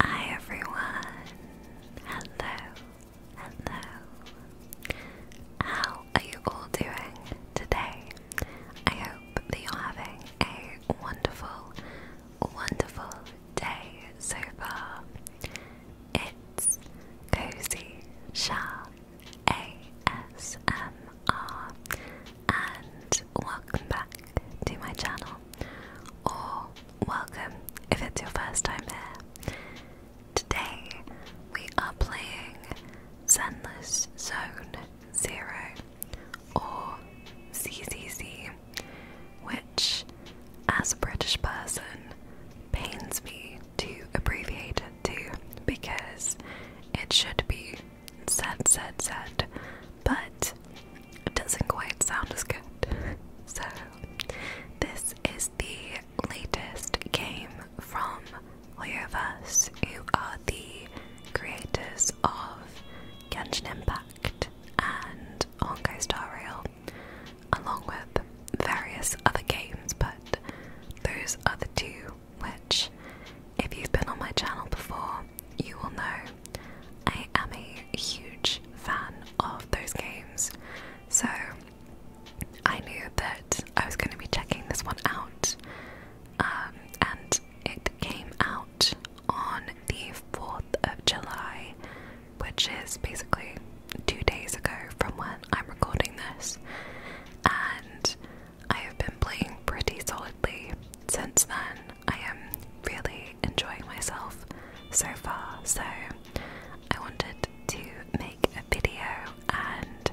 Hi everyone! Hello, hello. How are you all doing today? I hope that you're having a wonderful, wonderful day so far. It's Cozy Shah ASMR and welcome back to my channel or welcome if it's your first time here. Today we are playing Zenless Zone Zero or CCC, which, as a British person, pains me to abbreviate it to because it should be said, said, said, but it doesn't quite sound as good. So, this is the latest game from Hoyoverse, You are the creators of Genshin Impact and Honkai Star Rail, along with various other games, but those are the two which, if you've been on my channel before, you will know I am a huge fan of those games, so I knew that I was going to be checking this one out. Um, and it came out on the 4th of July, which is basically two days ago from when I'm recording this. And I have been playing pretty solidly since then. I am really enjoying myself so far, so I wanted to make a video and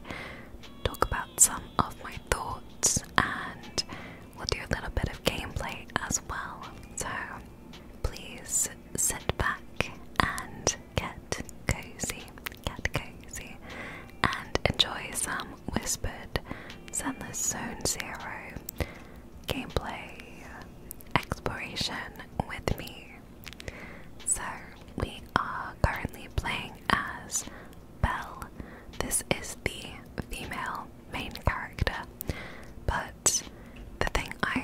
talk about some of my thoughts, and we'll do a little bit of gameplay as well. So please sit back and get cozy, get cozy, and enjoy some whispered Zenless Zone Zero gameplay exploration with me. So, we are currently playing as Belle. This is the female main character, but the thing I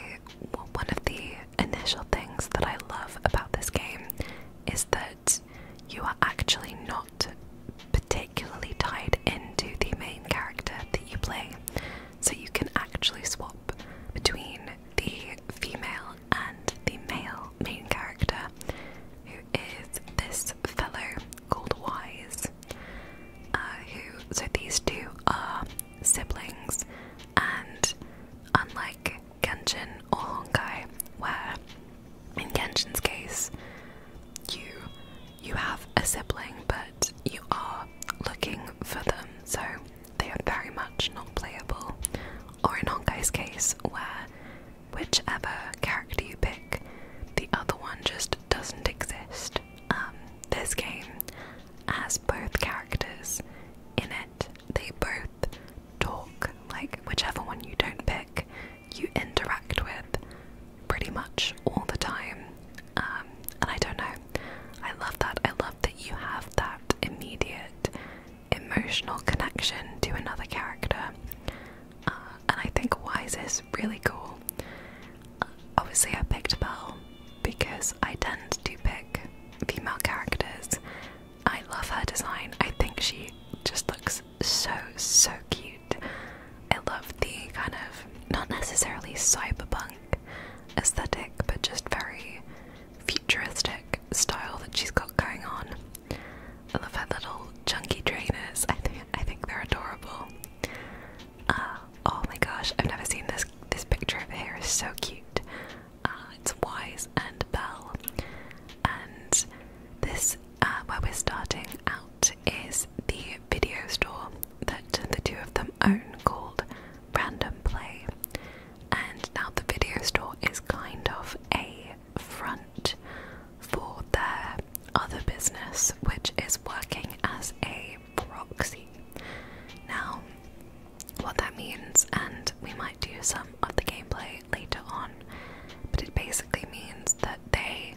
one of the initial things that I love about this game is that you are actually not particularly particularly tied into the main character that you play. So you can actually swap between the female and the male main character, who is this fellow called Wise. Uh, who so these two are siblings, and unlike Genshin or Honkai, where in Genshin's case you you have a sibling, but you are looking for them, so they are very much not playable. Or in Honkai's case, where whichever character you pick, the other one just doesn't exist. Um, this game has both characters in it, they both talk, like, whichever one you don't pick, you interact with pretty much all the time. Um, and I don't know, I love that. I love that you have that immediate emotional connection to another character. Uh, and I think Wise is really cool. Uh, obviously, I picked Belle because I tend to pick female characters. I love her design. I think she just looks so, so cute. I love the kind of not necessarily cyberpunk aesthetic, but just very futuristic style that she's got going on. I love her little chunky trainers. I think I think they're adorable. Uh, oh my gosh, I've never seen this. This picture over here is so cute. Uh, it's Wise and Bell, and this uh, where we're starting out is the video store that the two of them own called Random Play. And now the video store is kind of a front for their other business, which is working as a proxy. Now, what that means, and we might do some of the gameplay later on, but it basically means that they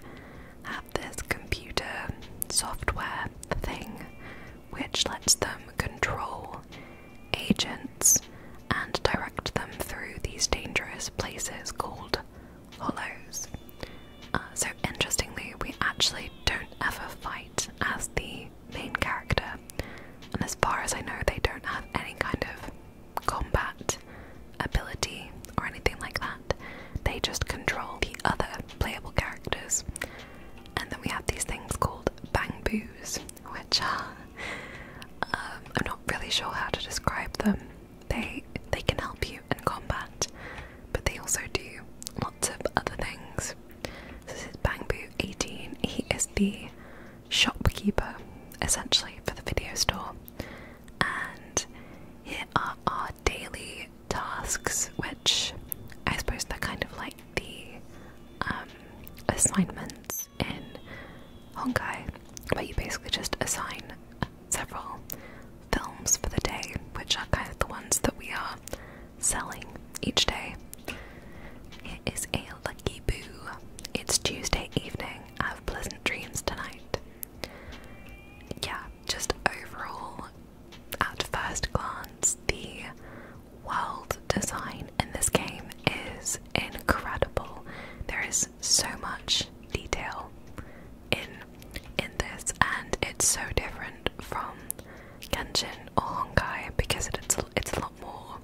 have this computer software thing which lets them control agents and direct them through these dangerous places called hollows. Uh, so, interestingly, we actually don't ever fight as the main character, and as far as I know, they don't have any kind of combat ability or anything like that. They just control the other playable characters. And then we have these things called bangboos, which are um, I'm not really sure how to describe them. They they can help you in combat, but they also do lots of other things. this is Bangbu 18. He is the shopkeeper essentially for the video store, and here are our daily tasks, which I suppose they're kind of like the um, assignments in Honkai, but you basically just assign several films for the day, which are kind of the ones that we are selling each day. It is a lucky boo. It's Tuesday evening. I Have pleasant dreams tonight. Yeah, just overall, at first glance, the world design in this game is incredible. There is so much detail in in this, and it's so different from Genshin or Honkai because it's it's a lot more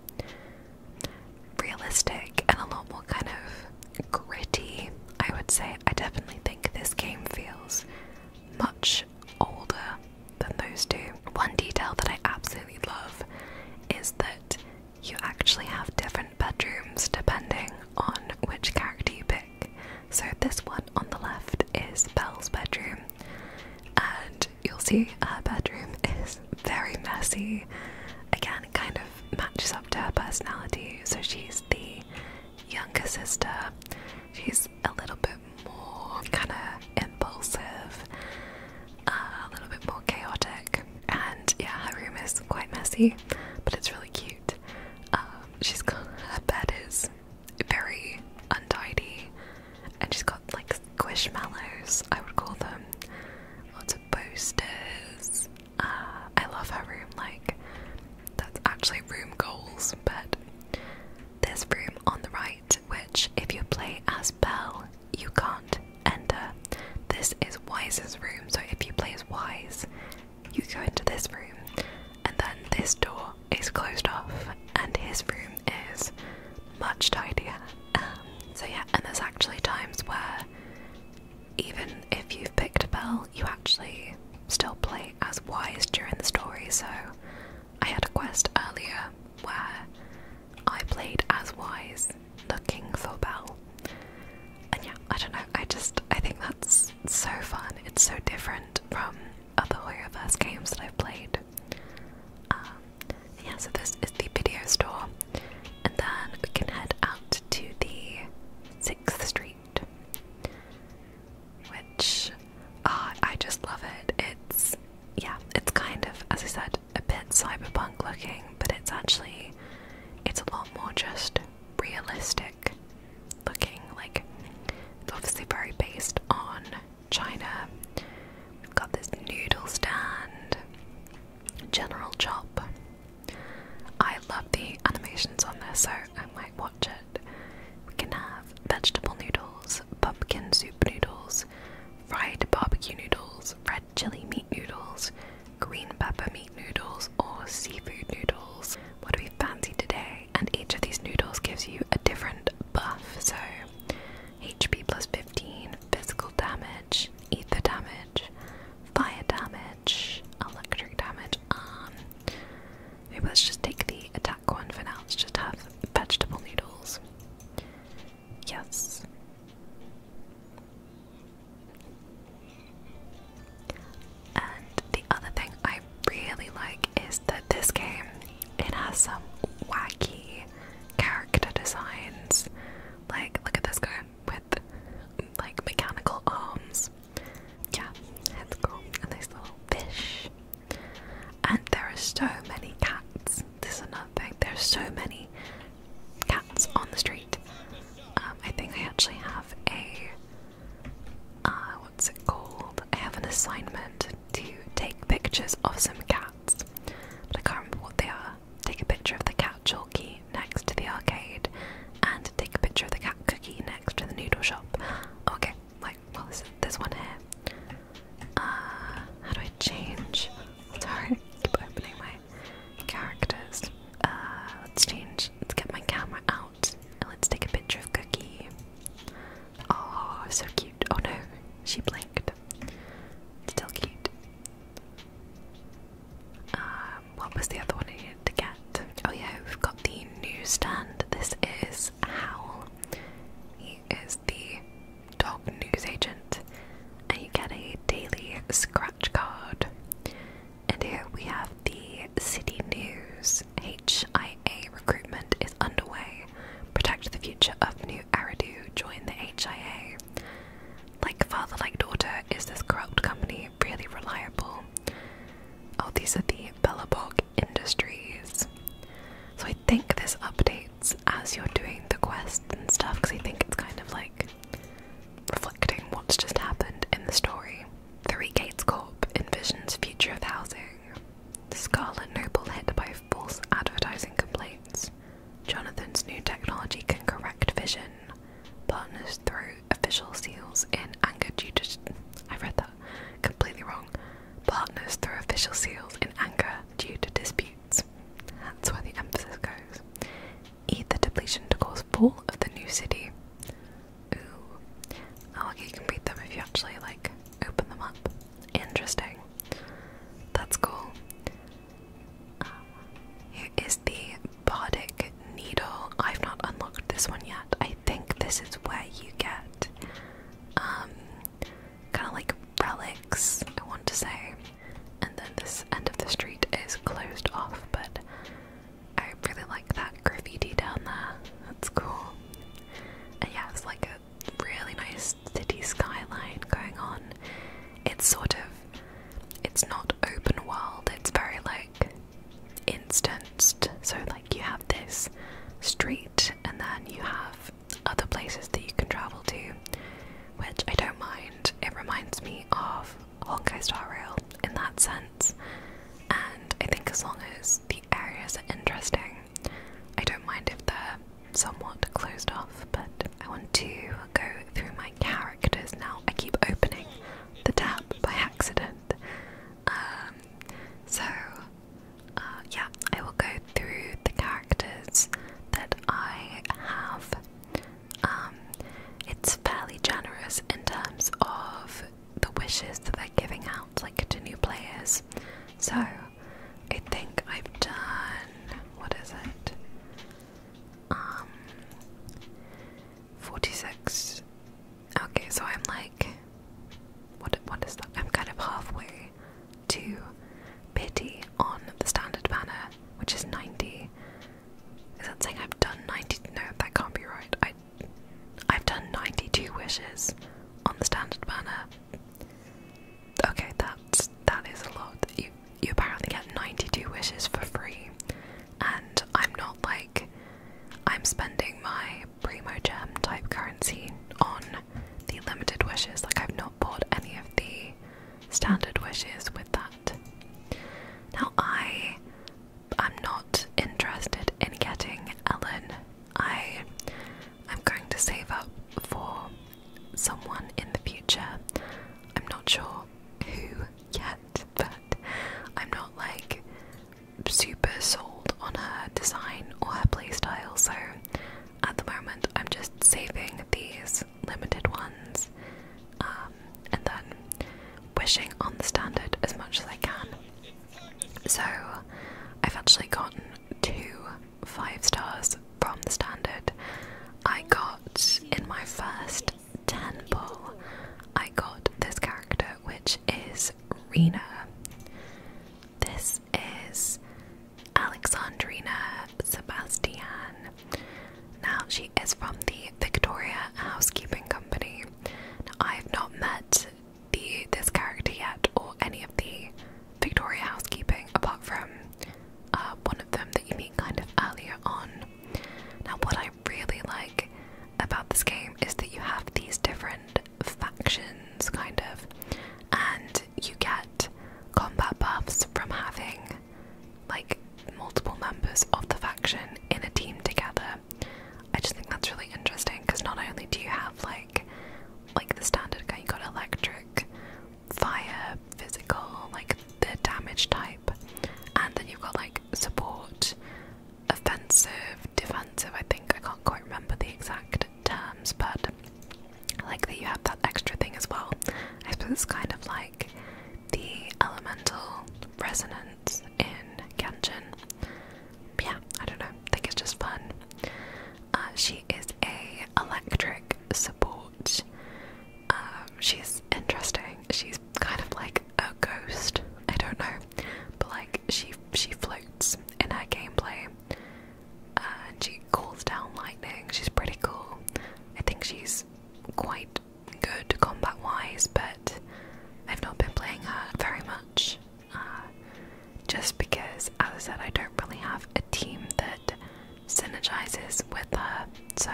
realistic and a lot more kind of gritty, I would say. I definitely think this game feels much older than those two. One detail that I absolutely love is that you actually have different bedrooms depending on which character you pick. So, this one on the left is Belle's bedroom, and you'll see her bedroom is very messy. Again, kind of matches up to her personality. So, she's the younger sister. She's a little bit more kind of impulsive, uh, a little bit more chaotic, and yeah, her room is quite messy, but it's really cute. Um, she's got her bed is very untidy, and she's got like squishmallows, I would call them, lots of posters, uh, I love her room, like, that's actually room goals, but this room on the right, which if you play as Bell, you can't enter. This is Wise's room, so if you play as Wise, you go into this room, and then this door is closed off, and his room is much tidier. Um, so, yeah, and there's actually times where even if you've picked Bell, you actually still play as Wise during the story. So I had a quest earlier where I played as Wise looking for Bell. And yeah, I don't know, I just I think that's so fun. It's so different from other Hoyoverse games that I've played. Um, yeah, so this is the video store. And then we can head out to the 6th Street which uh, I just love it. It's yeah, it's kind of as I said a bit cyberpunk looking, but it's actually it's a lot more just realistic looking. Like it's obviously very based on China. We've got this noodle stand, General Chop, I love the animations on this, so I might watch it. We can have vegetable noodles, pumpkin soup noodles, fried barbecue noodles, red chili meat noodles, green pepper meat noodles, or seafood noodles. What do we fancy today? And each of these noodles gives you a different buff, so HP plus 15, physical damage, ether damage, fire damage, electric damage, um, maybe let's just take the attack one for now. Let's just have vegetable noodles. Yes. And the other thing I really like is that this game it has some wacky character designs. Like, look at this guy like mechanical arms. Yeah, let's A nice little fish. And there are so many cats. This is another thing. There's so many cats on the street. Um, I think I actually have a uh, what's it called? I have an assignment to take pictures of some cats, but I can't remember what they are. Take a picture of the cat chalky next to the arcade and take a picture of the cat cookie next to the noodle shop. Okay, like, well, there's one here. Uh, how do I change? It's hard. keep opening my characters. Uh, let's change. Let's get my camera out and let's take a picture of Cookie. Oh, so cute. Oh no, she blinked. Still cute. Um, what was the other one I needed to get? Oh yeah, we've got the newsstand. This is Howl. He is the dog news agent, and you get a daily scratch card. And here we have the city news. HIA recruitment is underway. Protect the future of New Aridu. Join the HIA. Like father, like daughter, is this corrupt company really reliable? Oh, these are the Bella Bellabog Industries. So I think this updates as you're doing the quest and stuff, because I think it's kind of like reflecting what's just happened in the story. Three Gates Corp envisions future of housing. Scarlet Noble hit by false advertising complaints. Jonathan's new technology can correct vision. Partners through official seals in anger due to I read that completely wrong. Partners through official seals in anger due to disputes. That's where the emphasis goes. Eat the depletion to cause fall of the new city. Ooh. I oh, you can read them if you actually like open them up. Interesting. That's cool. here is the robotic needle. I've not unlocked this one yet. I think this is where you get um kind of like relics, I want to say. And then this end of the street is closed off, but I really like that graffiti down there. That's cool. And yeah, it's like a really nice city skyline going on. It's sort of it's not open world, it's very like instanced. So, like, you have this street, and then you have other places that you can travel to, which I don't mind. It reminds me of Honkai Star Rail in that sense, and I think as long as the areas are interesting, I don't mind if they're somewhat closed off. But I want to go through my characters now. I keep opening the tap by accident. Um, so, uh, yeah, I will go through the characters that I have. Um, it's fairly generous in terms of the wishes that they're giving out, like to new players. So, I think I've done. What is it? Um, 46. Okay, so I'm like what what is that? I'm kind of halfway to pity on the standard banner, which is 90. Is that saying I've done 90? No, that can't be right. I I've done 92 wishes on the standard banner. Okay, that's that is a lot. You you apparently get 92 wishes for free and I'm not like I'm spending my primo gem type currency on the limited wishes. Like I've not bought any of the standard wishes with that. Now I am not interested in getting Ellen. I'm going to save up for someone in the future. I'm not sure who yet, but I'm not like super sold on her design or her playstyle, so at the moment I'm just saving these limited ones um, and then wishing on the standard as much as I can. So I've actually gotten two five stars from the standard. I got in my first Tenpo, I got this character, which is Rena. This is Alexandrina Sebastian. Now, she is from the Victoria Housekeeping Company. I have not met the this character yet, or any of the Victoria Housekeeping, apart from uh, one of them that you meet kind of earlier on. Now, what I really like about this game is that you have these different factions, kind of, and you get combat buffs from having like multiple members of the faction in a team together. I just think that's really interesting because not only do you have like like the standard guy, you got electric, fire, physical, like the damage type, and then you've got like support, offensive, defensive. I think I can't quite remember the exact terms, but I like that you have that extra thing as well. I suppose it's kind of like the elemental resonance in Genshin. Yeah, I don't know. I think it's just fun. Uh, she is a electric support. Um, she's interesting. She's kind of like a ghost. I don't know, but like she she floats in her gameplay, uh, and she calls down lightning. She's pretty cool. I think she's quite good combat wise, but I've not been playing her very much. Uh, just because, as I said, I don't really have a team that synergizes with her. So,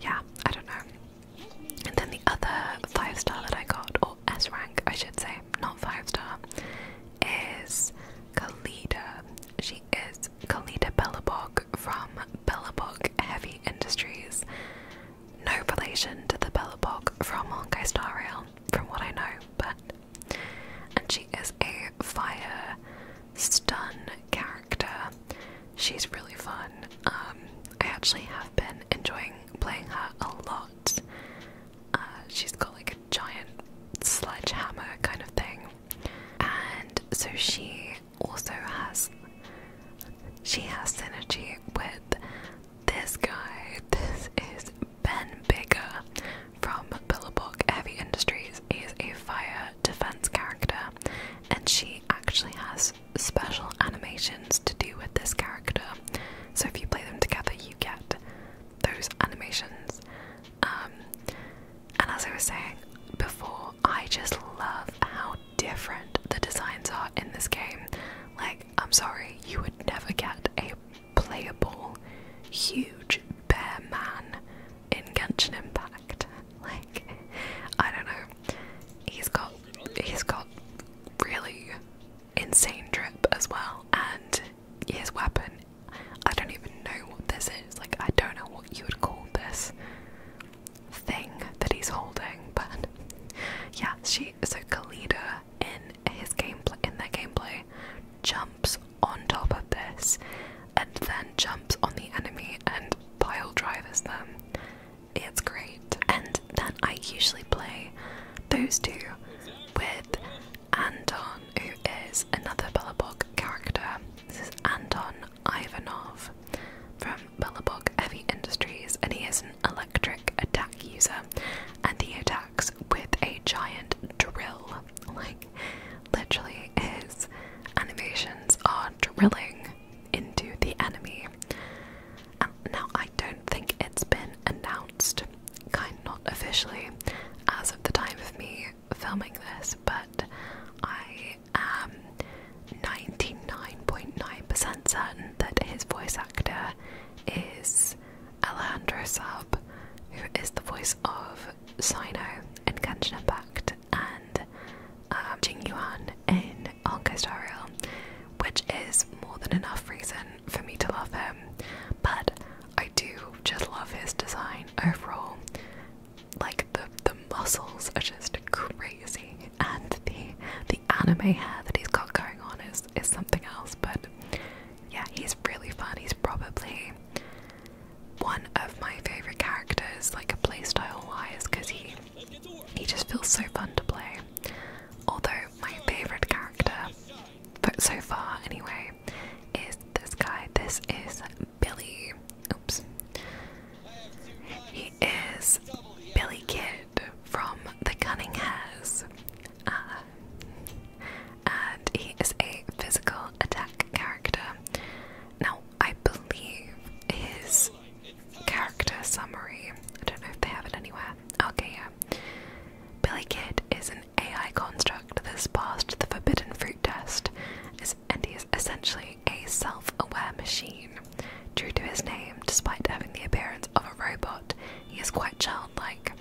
yeah, I don't know. And then the other five star that I got, or S rank, I should say, not five star, is Kalida. She is Kalida Bellabog from Bellabog Heavy Industries. No relation to the Bellabog from Honkai Star Rail, from what I know, but. And she is a fire stun character She's really fun. Um, I actually have been enjoying playing her a lot. Uh, she's got like a giant sledgehammer kind of thing, and so she also has she has synergy with this guy. This is Ben Bigger from Billabong Heavy Industries. He is a fire defense character, and she actually has special animations to do with this character. So if you play them together, you get those animations. Um, and as I was saying before, I just love how different the designs are in this game. Like, I'm sorry, you would never get a playable, huge bear man in Genshin Impact. Like, I don't know. He's got he's got really insane drip as well, and his weapon. I don't even know what this is. Like, I don't know what you would call this thing that he's holding, but yeah, she so Kalida in his gameplay in their gameplay jumps on top of this and then jumps on the enemy and pile drives them it's great. And then I usually play those two with Anton, who is another Bellabog character. This is Anton Ivanov from Bellabog Heavy Industries, and he is an electric attack user. And he attacks with a giant drill. Like, literally, his animations are drilling into the enemy. Um, now, I don't think it's been announced, kind not officially, as of the time of me filming this, but I am 99.9% percent certain that his voice actor is Alejandro Sub, who is the voice of Sino in Genshin Impact and um, Jing Yuan in on August which is more than enough reason for me to love him. But I do just love his design overall. Like the the muscles are just crazy, and the the anime hair that he's got going on is is something else. But yeah, he's really fun. He's probably one of my favorite characters, like a playstyle wise, because he he just feels so fun to play. Although my favourite character, but so far anyway, is this guy. This is Billy. Oops. He is Billy Kid from The Cunning Hares. Uh, and he is a physical attack character. Now, I believe, his character summary. I don't know if they have it anywhere. Okay, yeah. Billy Kid is an AI construct that has passed the forbidden fruit test, and he is essentially a self aware machine. Due to his name, despite having the appearance of a robot, he is quite childlike.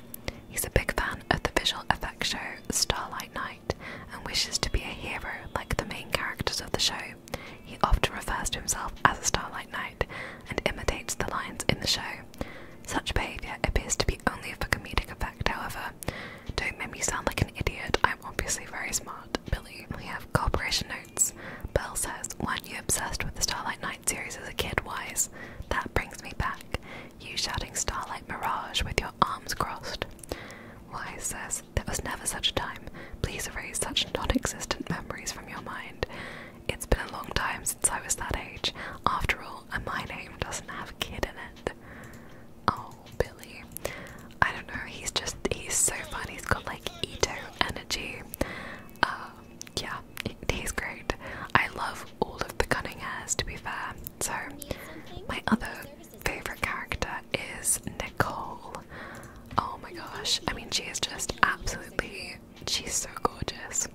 He's a big fan of the visual effect show Starlight Knight and wishes to be a hero like the main characters of the show. He often refers to himself as a starlight knight and imitates the lines in the show. Such behaviour appears to be only for comedic effect, however. Don't make me sound like an idiot, I'm obviously very smart, Billy. We have corporation notes. Bell says, Weren't you obsessed with the Starlight Knight series as a kid, Wise? That brings me back. You shouting Starlight Mirage with your arms crossed. Wise says, there was never such a time. Please erase such non existent memories from your mind. It's been a long time since I was that age. After all, and my name doesn't have a kid in it. Oh, Billy. I don't know, he's just, he's so fun. He's got like Ito energy. Um, yeah, he's great. I love all of the cunning hairs, to be fair. So, my other favorite character is Nicole. Oh my gosh. I mean, she is just absolutely. She's so gorgeous.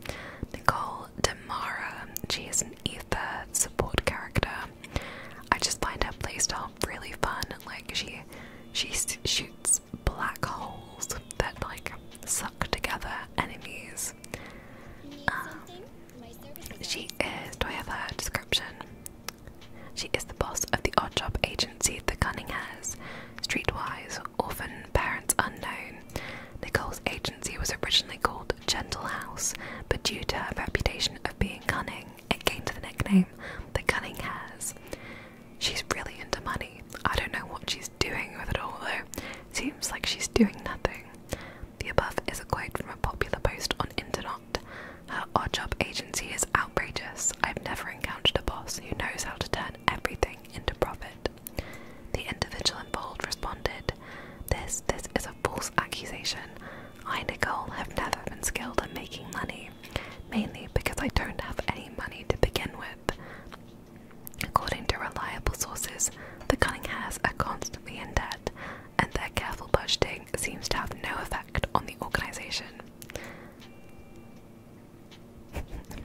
Nicole Demara. She is an ether support character. I just find her playstyle really fun. Like she, she shoots black holes that like suck together enemies. Um, she is. Do have her description? She is the boss of the odd job agency The Cunninghares, streetwise, orphan, parents unknown. Nicole's agency was originally called Gentle House, but due to her reputation of being cunning, it gained the nickname The Cunning Hares. She's really into money. I don't know what she's doing with it all though. Seems like she's doing nothing. The above is a quote from a popular post on internet not. Her odd job agency is outrageous. I've never encountered a boss who knows how to turn everything into profit. The individual involved responded, This this is a false accusation. I, and Nicole, have never been skilled at making money, mainly because I don't have any money to begin with. According to reliable sources, the Cunninghams are constantly in debt, and their careful budgeting seems to have no effect on the organization.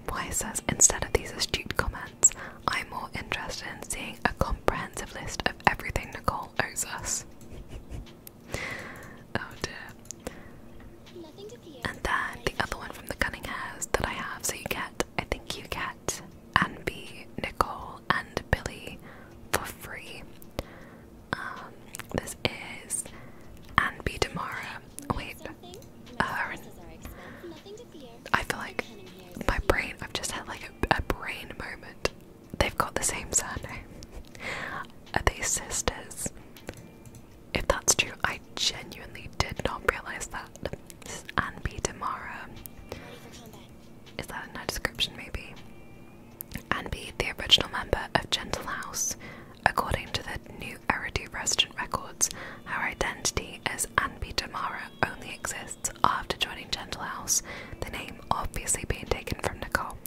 Why says instead of these astute comments, I'm more interested in seeing a comprehensive list of everything Nicole owes us. oh dear. And then the other one from the cunning hairs that I have, so you get, I think you get Anby, Nicole, and Billy for free. Um, this is Anne B. Demara. Wait, her. I feel like my brain. I've just had like a, a brain moment. They've got the same surname. Are they sisters? If that's true, I genuinely did not realize that. This is Anne Demara. Is that in my description? Maybe and be the original member of Gentle House. According to the new Eridu Resident records, her identity as Anby Damara only exists after joining Gentle House, the name obviously being taken from Nicole.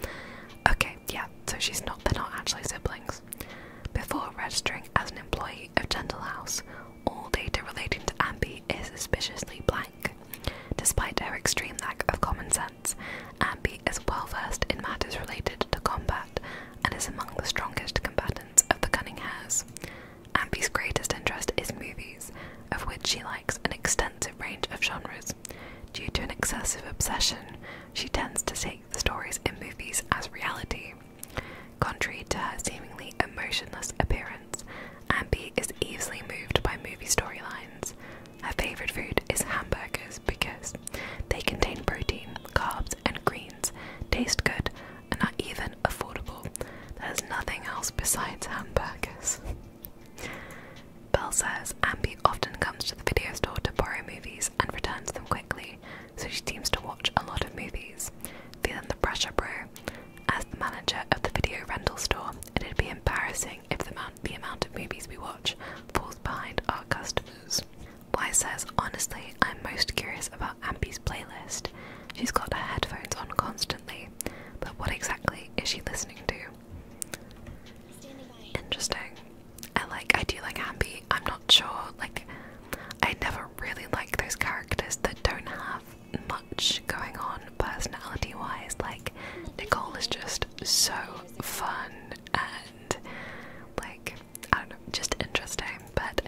Okay, yeah, so she's not they're not actually siblings. Before registering as an employee of Gentle House, all data relating to Ambi is suspiciously blank. Despite her extreme lack of common sense, defense. Ambi is well versed in matters related to combat and is among the strongest combatants of the Cunning Hares. Ambi's greatest interest is movies, of which she likes an extensive range of genres. Due to an excessive obsession, she tends to take the stories in movies as reality. Contrary to her seemingly emotionless appearance, Ambi is easily moved by movie storylines. Her favorite food is hamburgers because they contain protein, carbs, and greens, taste good, and are even affordable. There's nothing else besides hamburgers. Bell says Ambi often comes to the video store to borrow movies and returns them quickly, so she seems to watch a lot of movies. Feeling the pressure, bro. As the manager of the video rental store, It'd be embarrassing if the amount, the amount of movies we watch falls behind our customers. Y says, honestly, I'm most curious about Ampi's playlist. She's got her headphones on constantly, but what exactly is she listening to? Interesting. I like, I do like Ampi. I'm not sure, like, I never really like those characters that don't have much going on personality wise. Like, Nicole is just so fun and like I don't know, just interesting. But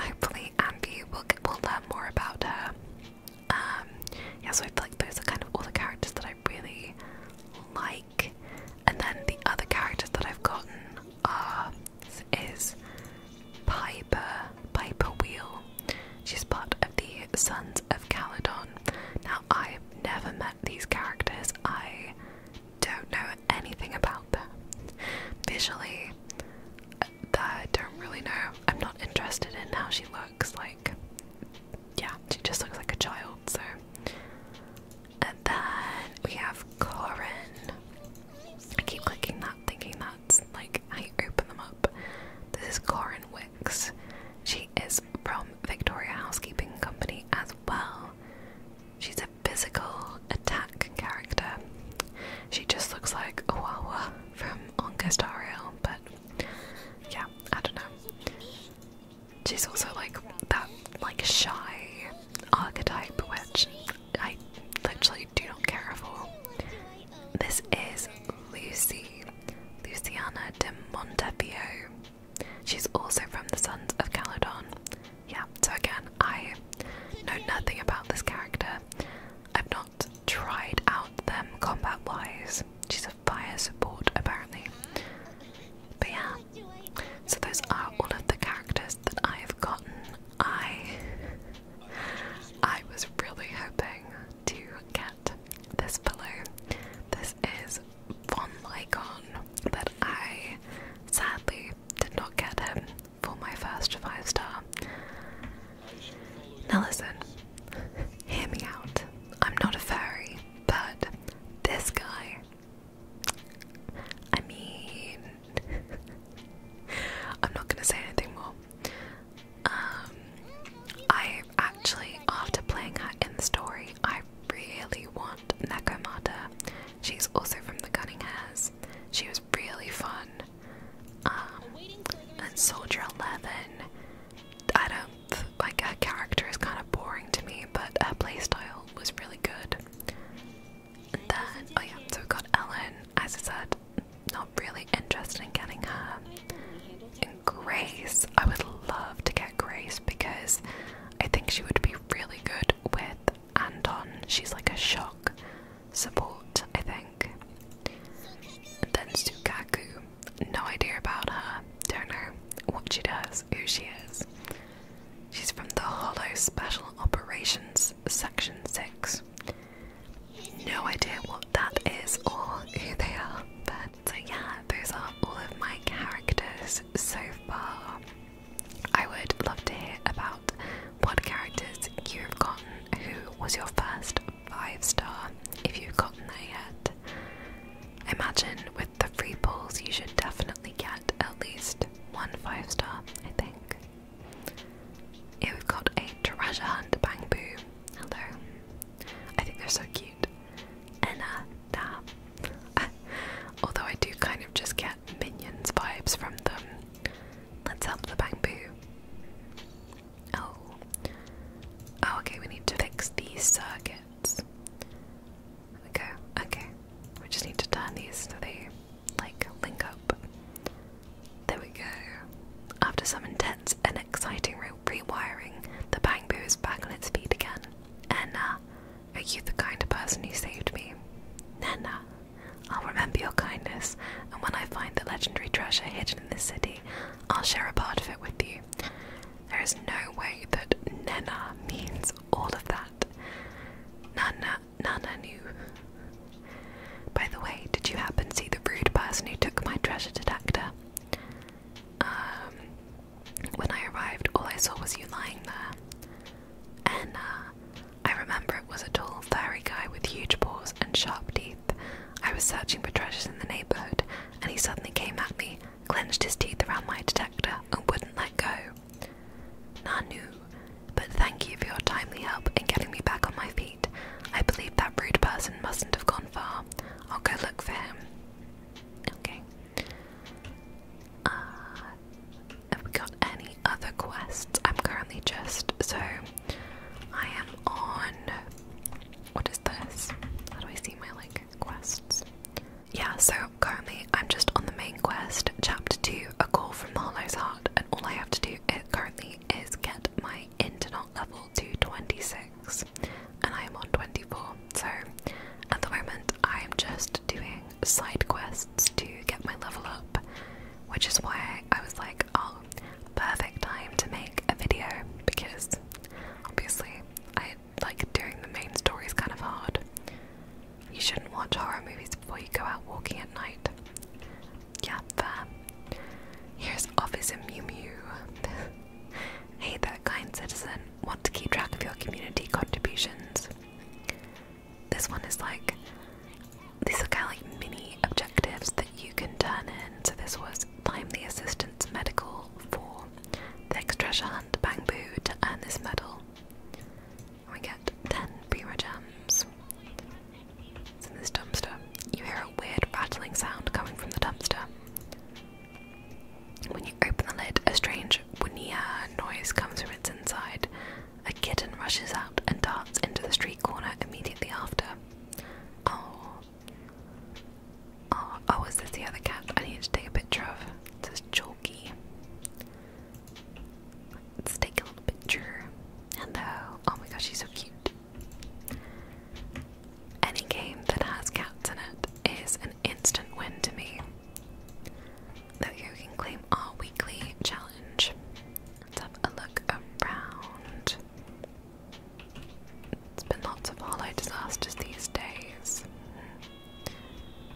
hopefully, Ambi will will learn more about her. Um, yeah, so I feel like those are kind of all the characters that I really like, and then the other characters that I've gotten are is Piper Piper Wheel. She's part of the Sons of Caledon, now, I've never met these characters, I don't know anything about them. Visually, uh, I don't really know. I'm not interested in how she looks like. Yeah, she just looks like a child, so. And then we have Corin. I keep clicking that, thinking that's like I open them up. This is Corin Wick. She is from Victoria Housekeeping Company as well. She's a physical attack character. She just looks like a Wawa from Ongastario, but yeah, I don't know. She's also like that like shy archetype which I literally do not care for. This is Lucy, Luciana de Montebio. She's also from the Sons of Caledon. Yeah, so again, I know nothing about this character. I've not tried out them combat wise. She's a fire support, apparently. But yeah, so those are all of the characters that I have gotten. I I was really hoping to get this pillow. This is Von Lycon that I sadly did not get him for my first five star. Now listen, hear me out. I'm not a fairy, but this guy. I mean, I'm not gonna say anything more. Um, I actually, after playing her in the story, I really want Nekomata. She's also from the Gunning Hairs. She was really fun. Um, and Soldier 11, I don't, like her character is kind of boring to me, but her playstyle was really good. And then, oh yeah, so we got Ellen, as I said, not really interested in getting her. And Grace, I would love to get Grace because I think she would be really good with Anton. She's like a shock support, I think. And then Sukaku, no idea about her. do what she does, who she is. She's from the Hollow Special Operations Section 6. No idea what that is or who they are, but so yeah, those are all of my characters so far. I would love to hear about what characters you've gotten. Who was your first five star if you've gotten there yet? Imagine with the free pulls you should definitely get at least one five star, I think. Yeah, we've got a treasure hunt bang boo. Hello. I think they're so cute. Anata. Although I do kind of just get minions vibes from them. Let's help the bamboo. Oh. Oh, okay, we need to fix these circuits. Okay, okay. We just need to turn these so they, like, link up. There we go. After some intense and exciting rewiring the bamboo is back on its feet again. Nana, are you the kind of person who saved me? Nana, I'll remember your kindness, and when I find the legendary treasure hidden in this city, I'll share a part of it with you. There is no way that Nana means all of that. Nana, Nana knew. By the way, did you happen to see the rude person who took my treasure detector? Um, when I arrived, all I saw was you lying there. And uh, I remember it was a tall, furry guy with huge paws and sharp teeth. I was searching for treasures in the neighborhood, and he suddenly came at me, clenched his teeth around my detector, and wouldn't let go. Nanu, but thank you for your timely help in getting me back on my feet. I believe that rude person mustn't have gone far. I'll go look for him. Okay. Uh, have we got any other quests? I'm currently just so I am on. What is this? How do I see my like quests? Yeah, so currently I'm just on the main quest, chapter two, a call from the Heart, and all I have to do currently is get my internet level to 26 and I am on 24. So at the moment, I am just doing side quests to get my level up, which is why I was like, oh, perfect time to make a video because obviously, I like doing the main story is kind of hard. You shouldn't watch horror movies before you go out walking at night. Yeah, fair. Here's Officer Mew Mew. Hey there, kind citizen. Want to keep track of your community contributions? This one is like these are kind of like mini objectives that you can turn in. So this was the assistant's medical for the next treasure hunt bang boo to earn this medal. We get ten Beamer gems. It's in this dumpster. You hear a weird rattling sound coming from the dumpster. When you open the lid, a strange wuniah noise comes from its inside. A kitten rushes out and darts into the street corner immediately after. Oh. Oh, oh is this the other cat I need to take a picture of? It says Chalky. Let's take a little picture. Hello. Oh my gosh, she's so cute. Any game that has cats in it is an instant win to me. Though you can claim our weekly challenge. have a look around. There's been lots of hollow disasters these days.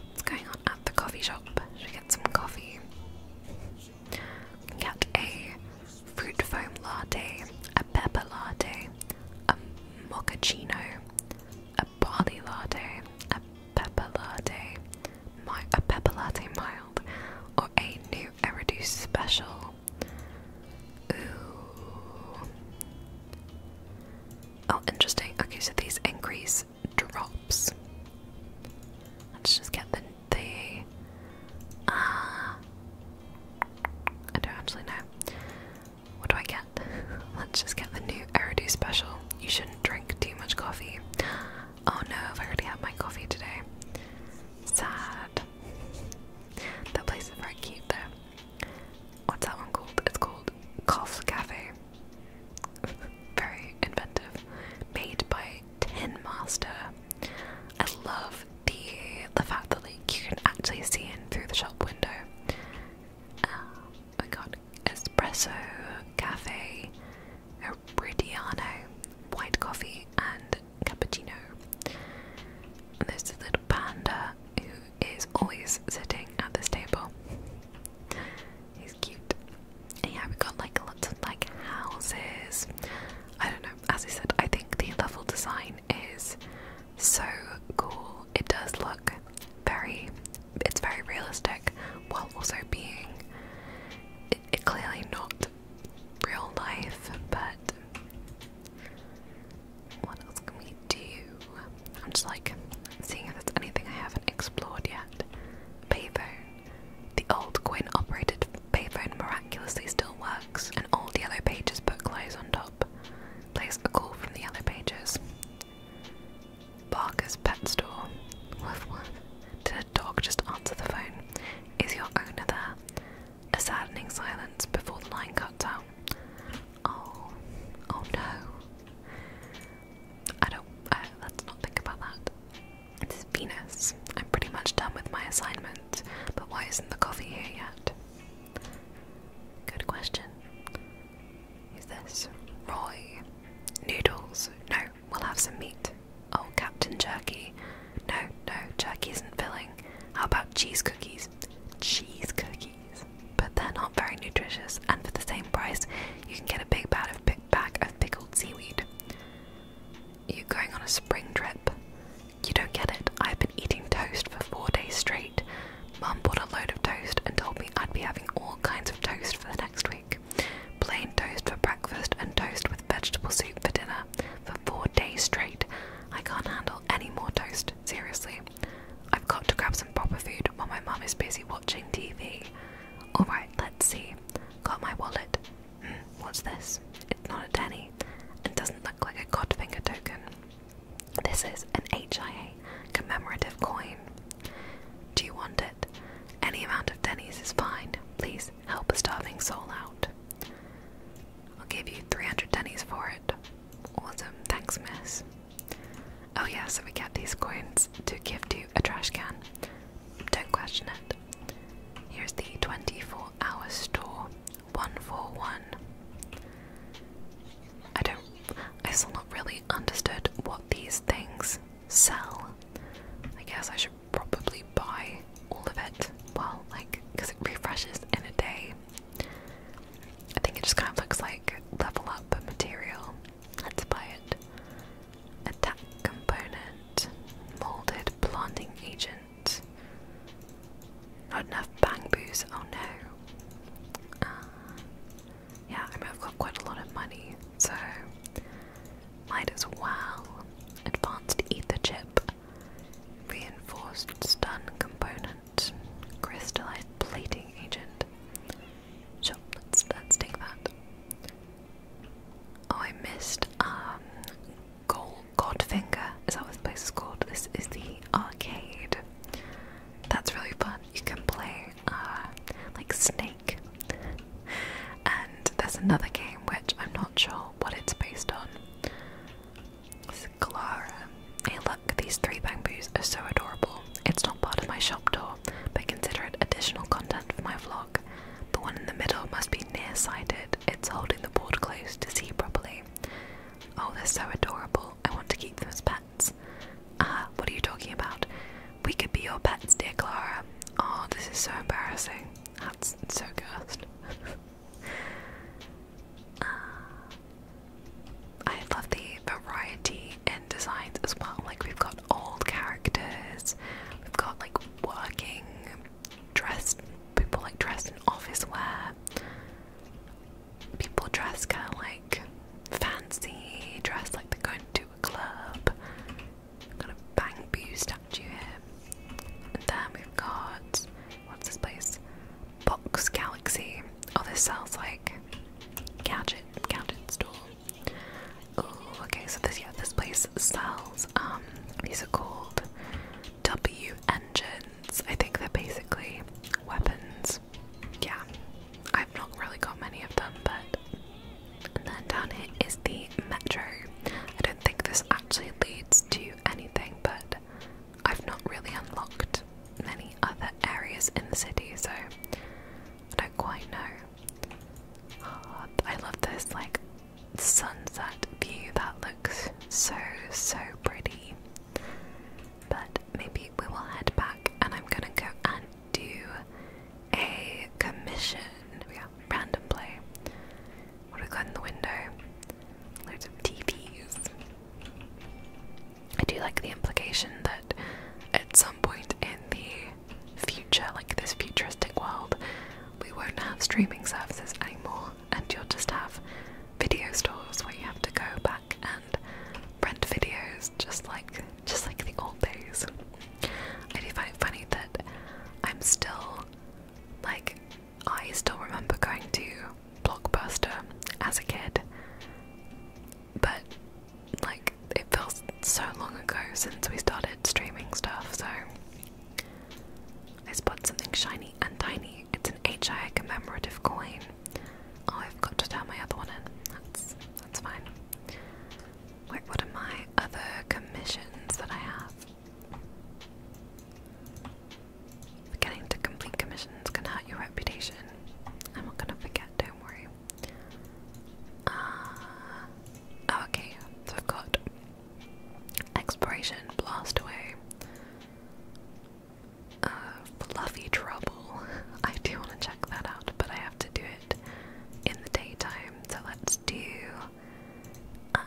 What's going on at the coffee shop? Should we get some coffee? Get a fruit foam latte, a pepper latte, mochaccino, a barley latte, a pepper a pepper mild, or a new Eridu special. Ooh. Oh, interesting. Okay, so these increase drops. Let's just get the the. Uh, I don't actually know. What do I get? Let's just get the new Eridu special. You shouldn't drink too much coffee. Oh no, I've already had my coffee today. Sad. That place is very cute though. What's that one called? It's called Cough Cafe. very inventive. Made by Tin Master. I love the the fact that like you can actually see in through the shop window. we um, got espresso, cafe, Oridiano, white coffee, and cappuccino. And there's this little panda who is always sitting at this table. He's cute. And yeah, we got like lots of like houses. I don't know. As I said, I think the level design is so cool. It does look very, it's very realistic while also being it, clearly not real life, but what else can we do? I'm just like seeing if there's anything I haven't explored yet. Payphone. The old coin operated payphone miraculously still works, and old yellow pages book lies on top. Place a call from the yellow pages. Barker's pet store. Woof woof. Did a dog just answer the phone? Is your owner there? A saddening silence before the line cut out. Oh, oh no. I don't. let's not think about that. It's Venus. I'm pretty much done with my assignment, but why isn't the coffee here yet? Good question. Is this Roy? Noodles? No, we'll have some meat. Oh, Captain Jerky. No, no, jerky isn't filling. How about cheese cookies? Cheese cookies. But they're not very nutritious, and for the same price, you can get a big bag of, pickled seaweed. You're going on a spring trip. You don't get it. I've been eating toast for four days straight. Mum bought a load of toast and told me I'd be having all kinds of toast for the next week. Plain toast for breakfast and toast with vegetable soup for dinner for four days straight. I can't handle any more toast, seriously. I've got to grab some proper food while my mum is busy watching TV. Alright, let's see. Got my wallet. Hmm, what's this? It's not a penny It doesn't look like a Godfinger token. This is an HIA commemorative coin. Do you want it? Any amount of pennies is fine. Please help a starving soul out. I'll give you 300 pennies for it. Awesome, thanks, miss. Oh, yeah, so we get these coins to give to a trash can. Don't question it. Here's the 24 hour store 141. I don't. I still not really understood what these things sell. I guess I should probably buy all of it. Well, like, because it refreshes in a day. I think it just kind of looks like level up material. Let's buy it. Attack component, molded blonding agent. Not enough bamboos, oh no. Uh, yeah, I mean, I've got quite a lot of money, so might as well. Advanced ether chip, reinforced stun component, crystallized plating agent. Sure, let's, let's take that. Oh, I missed um, gold Godfinger, is that what this place is called? This is the arcade. That's really fun. You can play uh, like Snake. And there's another game which I'm not sure what it's based on. It's Clara. Hey, look, these three bamboos are so adorable. It's not part of my shop door, but consider it additional content for my vlog. The one in the middle must be nearsighted, it's holding the board close to see properly. Oh, they're so adorable. I want to keep them as pets. Ah, what are you talking about? We could be your pets, dear Clara. Oh, this is so embarrassing. That's so gross. uh, I love the variety in designs as well. Like, we've got old characters, we've got like working, dressed, people like dressed in office wear people dress kind of like fancy, dress like they're going to a club. Got a Bang statue here. And then we've got, what's this place? Box Galaxy. Oh, this sounds like gadget, gadget store. Oh, okay, so this, yeah, this place sells, um, these are called W Engine. I think that basically weapons. Yeah, I've not really got many of them, but. And then down here is the metro. I don't think this actually leads to anything, but I've not really unlocked many other areas in the city, so I don't quite know. I love this like sunset view that looks so so pretty. But maybe we will head back and I'm gonna go and do a commission. Yeah, What do we got in the window? Loads of TPs. I do like the implication that at some point in the future, like this futuristic world, we won't have streaming services anymore and you'll just have video stores where you have to go back and rent videos just like just like the old days. I do find it funny that I'm still like I still remember going to Blockbuster as a kid. But like it feels so long ago since we started streaming stuff, so let's spot something shiny and tiny it's an HI commemorative coin. Oh, I've got to turn my other one in. That's that's fine. Wait, what are my other commissions that I have? Forgetting to complete commissions can hurt your reputation. I'm not gonna forget, don't worry. Uh, oh, okay, so I've got exploration, blast away. Fluffy Trouble. I do want to check that out, but I have to do it in the daytime. So let's do. Um,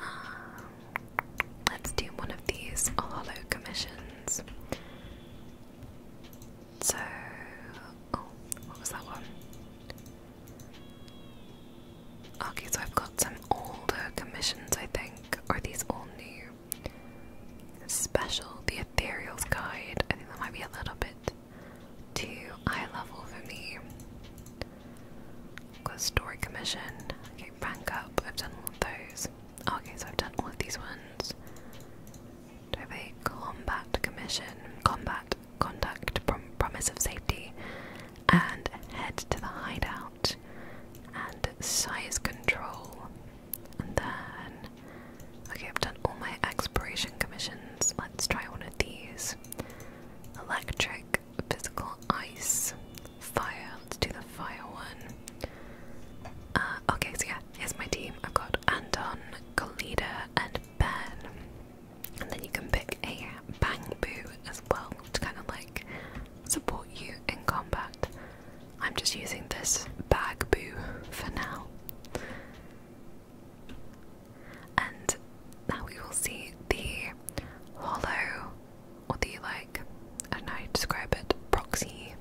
let's do one of these hollow commissions. So, oh, what was that one? Okay, so I've got some older commissions, I think. are these all new? special, the Ethereal's Guide. I think that might be a little bit too high level for me. Got Story Commission. Okay, Rank Up. I've done all of those. okay, so I've done all of these ones. Do a Combat Commission? Combat Conduct, Promise of Safety, and Head to the Hideout and size control. And then, okay, I've done all my expiration commissions. Let's try one of these electric, physical, ice, fire. Let's do the fire one. Uh, okay, so yeah, here's my team. I've got Anton, Kalida, and Ben. And then you can pick a Bang Boo as well to kind of like support you in combat. I'm just using this bag boo for now. And now we will see the hollow or the like I don't know how you describe it, proxy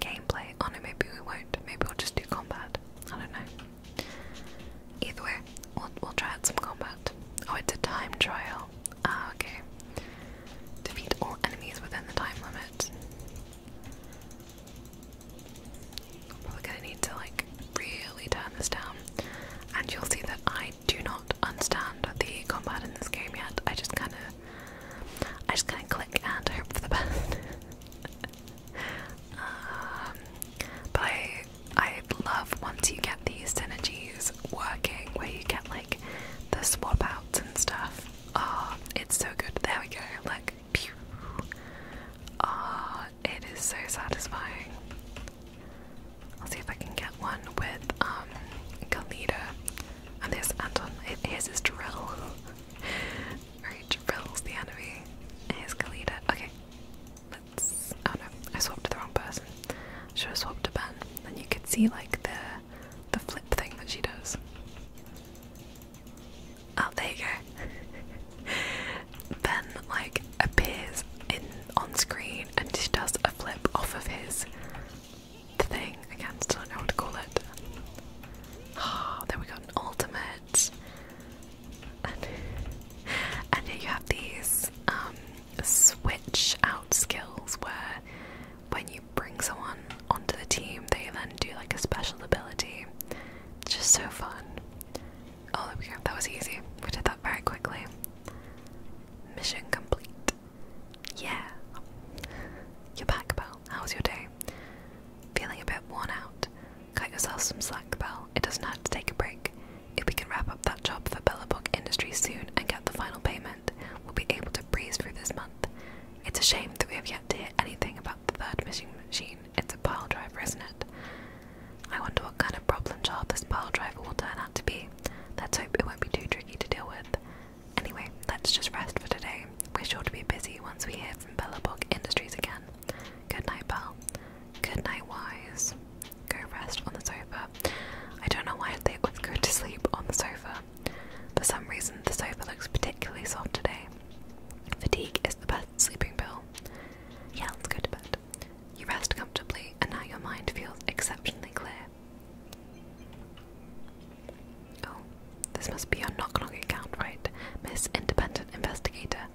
gameplay. Oh no, maybe we won't. Maybe we'll just do combat. I don't know. Either way, we'll, we'll try out some combat. Oh, it's a time trial. Oh, uh, okay. Defeat all enemies within the time limit. Probably gonna need to like really turn this down. And you'll see that I do not understand the combat in this game yet. I just kinda I just kinda click and hope for the best. Um, but I I love once you get these synergies working where you get like the swap outs and stuff. Ah, oh, it's so good. There we go. Like, pew. Ah, it is so satisfying. I'll see if I can get one with um Galita. And there's Anton. Here's his drill. Alright, drill's the enemy. Here's Galita. Okay. Let's. Oh no, I swapped to the wrong person. Should have swapped to Ben. Then you could see like the the flip thing that she does. Oh, there you go. ben like appears in on screen and just does a flip off of his thing. I can't still don't know what to call it. Ah, there we go. an ultimate. And, and here you have these um, switch out skills where when you bring someone onto the team, they then do like a special ability. just so fun. Oh, That was easy. We did that very quickly. Mission complete. Yeah. You're back, Belle. How was your day? Feeling a bit worn out? Cut yourself some slack, Belle. It doesn't have to take a break. If we can wrap up that job for Bellabook Industries soon and get the final payment, we will be able to breeze through this month. It's a shame that we have yet to hear anything about the third missing machine. It's a pile driver, isn't it? I wonder what kind of problem child this pile driver will turn out to be. Let's hope it won't be too tricky to deal with. Anyway, let's just rest for today. We're sure to be busy once we hear from Bellabog Industries again. Good night, Bell. Good night, Wise. Go rest on the sofa I don't know why they always go to sleep on the sofa. For some reason, the sofa looks particularly soft today. Fatigue is the best sleeping pill. Yeah, let's go to bed. You rest comfortably, and now your mind feels exceptionally clear. Oh, this must be your knock knock account, right? Miss Independent Investigator.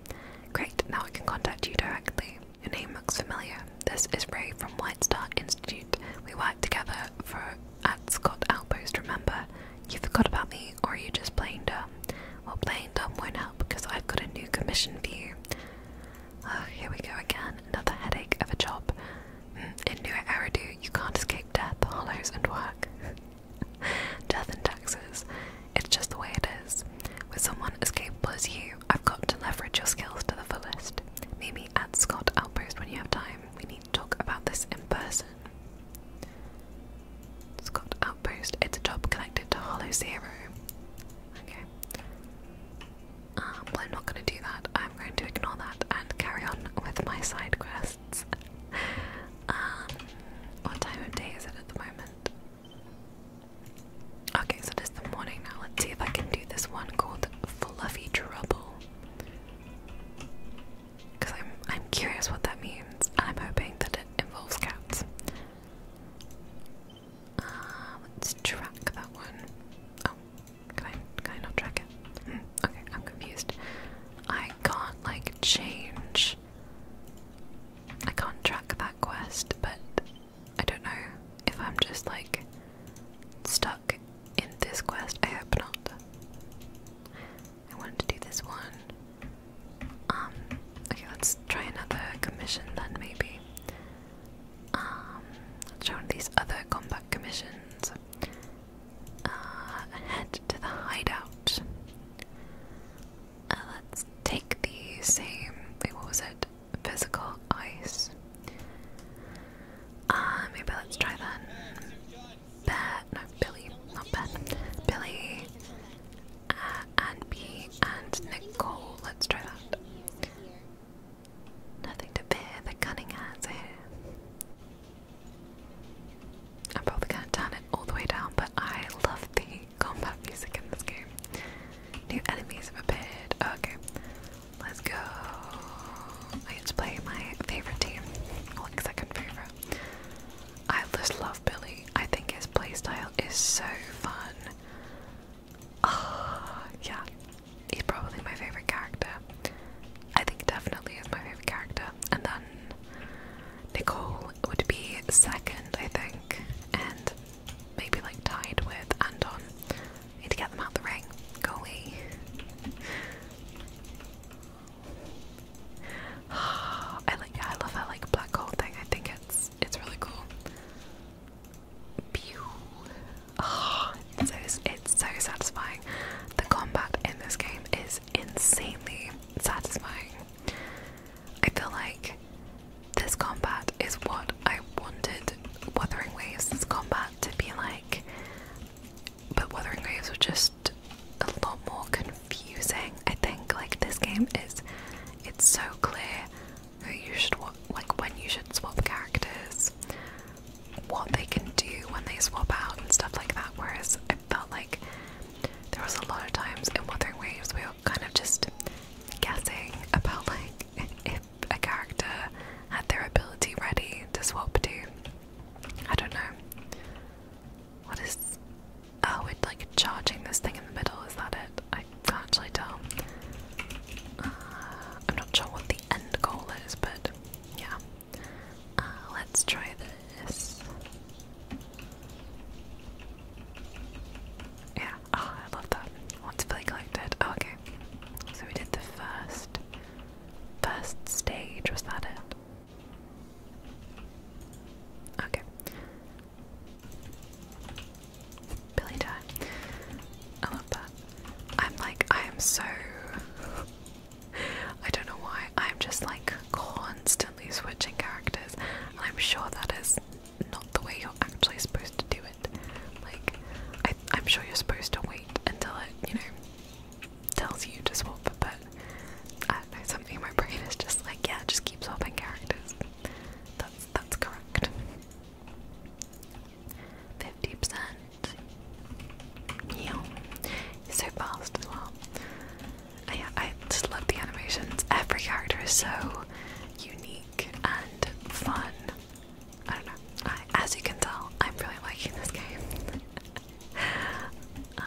Great, now I can contact you directly. Your name looks familiar. This is Ray from White Star Institute. We worked together for at Scott Outpost, remember? You forgot about me, or are you just playing dumb? Well, playing dumb won't help because I've got a new commission for you. Oh, here we go again. Another headache of a job. Mm, in New Eridu, you can't escape death, hollows, and work. death and taxes. It's just the way it is. With someone as capable as you, I've got to leverage your skills to the fullest. Meet at Scott Outpost when you have time. We need to talk about this in person. Scott Outpost. It's a job connected to Hollow Zero. Okay. Um, well, I'm not going to do that. I'm going to ignore that and carry on with my side quests. um, what time of day is it at the moment? Okay, so the morning now. Let's see if I can do this one called Fluffy Trouble. Because I'm, I'm curious what that means. I'm hoping that it involves cats. Uh, let's track that one. Oh, can I, can track it? Hmm, okay, I'm confused. I can't, like, change. I can't track that quest, but I don't know if I'm just like stuck in this quest. I hope not. I wanted to do this one. Um, okay, let's try another commission then, maybe. Um, let's try these other combat commissions. Uh, head to the hideout. Uh, let's take the same. what was it? physical ice. Uh, maybe let's try that. Bet, no, Billy, not Ben. Billy uh, and B and Nicole. Let's try that. Nothing to fear, the cunning hands here. I'm probably gonna turn it all the way down, but I love the combat music in this game. New enemies have appeared. okay. Let's go. I get to play my favorite team. Like second favorite. I just love Billy. I think his playstyle is so fun. Oh, yeah. He's probably my favorite character. I think definitely is my favorite character. And then Nicole would be second, I think. And maybe like tied with Andon. I need to get them out the ring. Go away. I like I love that like black hole thing. I think it's it's really cool. Pew. Oh, it's so satisfying. The combat in this game is insanely satisfying. I feel like this combat is what I wanted. Wuthering Waves' combat to be like, but Weathering Waves was just a lot more confusing. I think like this game is, it's so clear who you should like when you should swap characters, what they can do when they swap out and stuff like that. Whereas I felt like there was a lot of times in Weathering Waves we were kind of just guessing about like if a character had their ability ready to swap to. I don't know. What is. Oh, we're like charging this thing in the middle, is that it? I can't actually tell. Uh, I'm not sure what the end goal is, but yeah. Uh, let's try this. Yeah, oh, I love that. Once fully collected. Oh, okay, so we did the first first stage, was that it? Okay. Billy time. I I'm like I am so I don't know why. I'm just like constantly switching characters I'm sure that is not the way you're actually supposed to do it. Like, I I, am sure you're supposed to wait until it, you know, tells you to swap, but I do something in my brain is just like, yeah, just keep swapping characters. That's, that's correct. 50%. Yeah. so fast as well. I, I just love the animations. Every character is so unique and fun I don't know. as you can tell, I'm really liking this game, uh,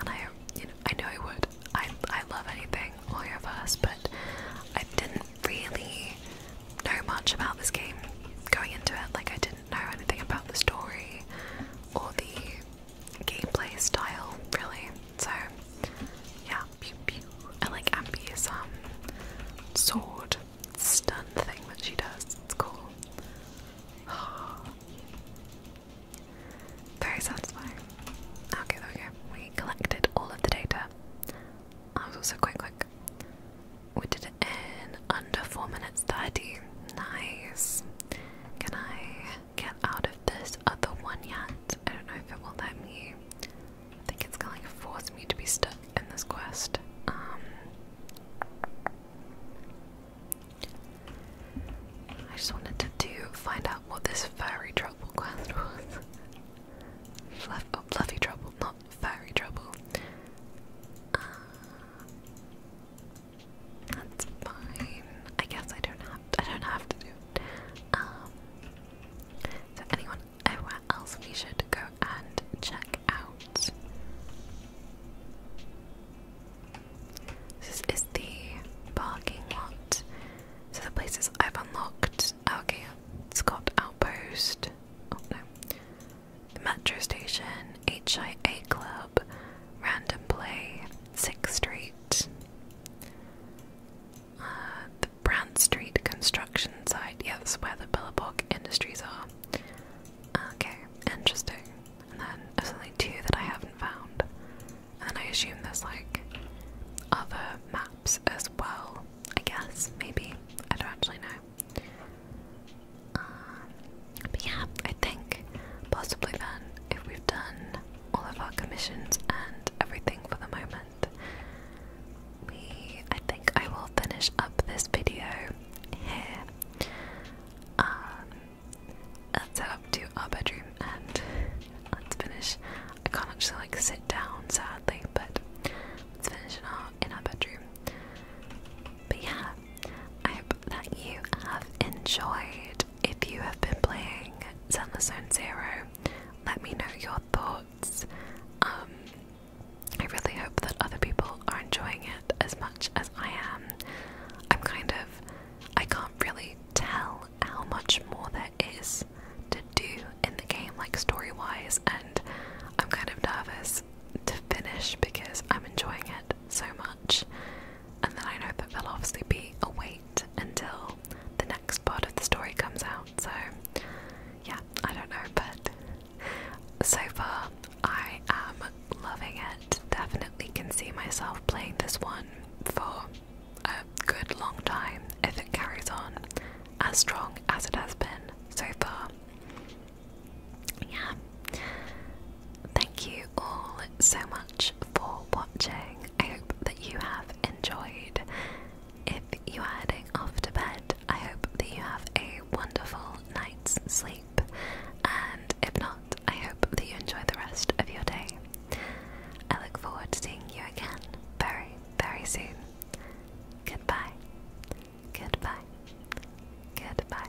and I, you know, I know I would. I, I love anything multiverse, but I didn't really know much about this game going into it. Like I didn't know anything about the story or the gameplay style, really. So yeah, pew pew. I like Ambi's um sword stun thing that she does. It's cool. Very satisfying. Okay, there we go. We collected all of the data. I was also quite quick. We did it in under 4 minutes 30. Nice. Can I get out of this other one yet? I don't know if it will let me. I think it's gonna force me to be stuck in this quest. Um I just wanted to do find out what this fairy trouble quest was. Fluff oh, trouble, not fairy trouble. Uh, that's fine. I guess I don't have I don't have to do Um so anyone where else we should go and check out. This is the parking lot. So the places I've unlocked. Oh, okay, it's got Outpost. Oh, metro station, HIA Club, Random Play, Sixth Street. Uh, Brand Street construction site. Yeah, that's where the Billabog Industries are. Okay, interesting. And then there's only two that I haven't found. And then I assume there's like other maps as well. I guess, maybe. I don't actually know. Um, but yeah, I think possibly then, if we've done all of our commissions and everything for the moment, we I think I will finish up this video here. Um, let's head up to our bedroom and let's finish I can't actually like sit down sadly, but let's finish in our in our bedroom. But yeah, I hope that you have enjoyed. If you have been playing Zenless Zone Zero, let me know your thoughts. Um, I really hope that other people are enjoying it as much as I am. I'm kind of. I can't really tell how much more there is to do in the game, like story wise, and I'm kind of nervous to finish because I'm enjoying it so much. And then I know that there'll obviously be a wait until the next part of the story comes out, so yeah, I don't know, but so far I am loving it. Definitely can see myself playing this one for a good long time if it carries on as strong as it has been so far. Yeah. Thank you all so much for watching. I hope that you have enjoyed if you are heading off to bed, I hope that you have a wonderful night's sleep, and if not, I hope that you enjoy the rest of your day. I look forward to seeing you again very, very soon. Goodbye. Goodbye. Goodbye.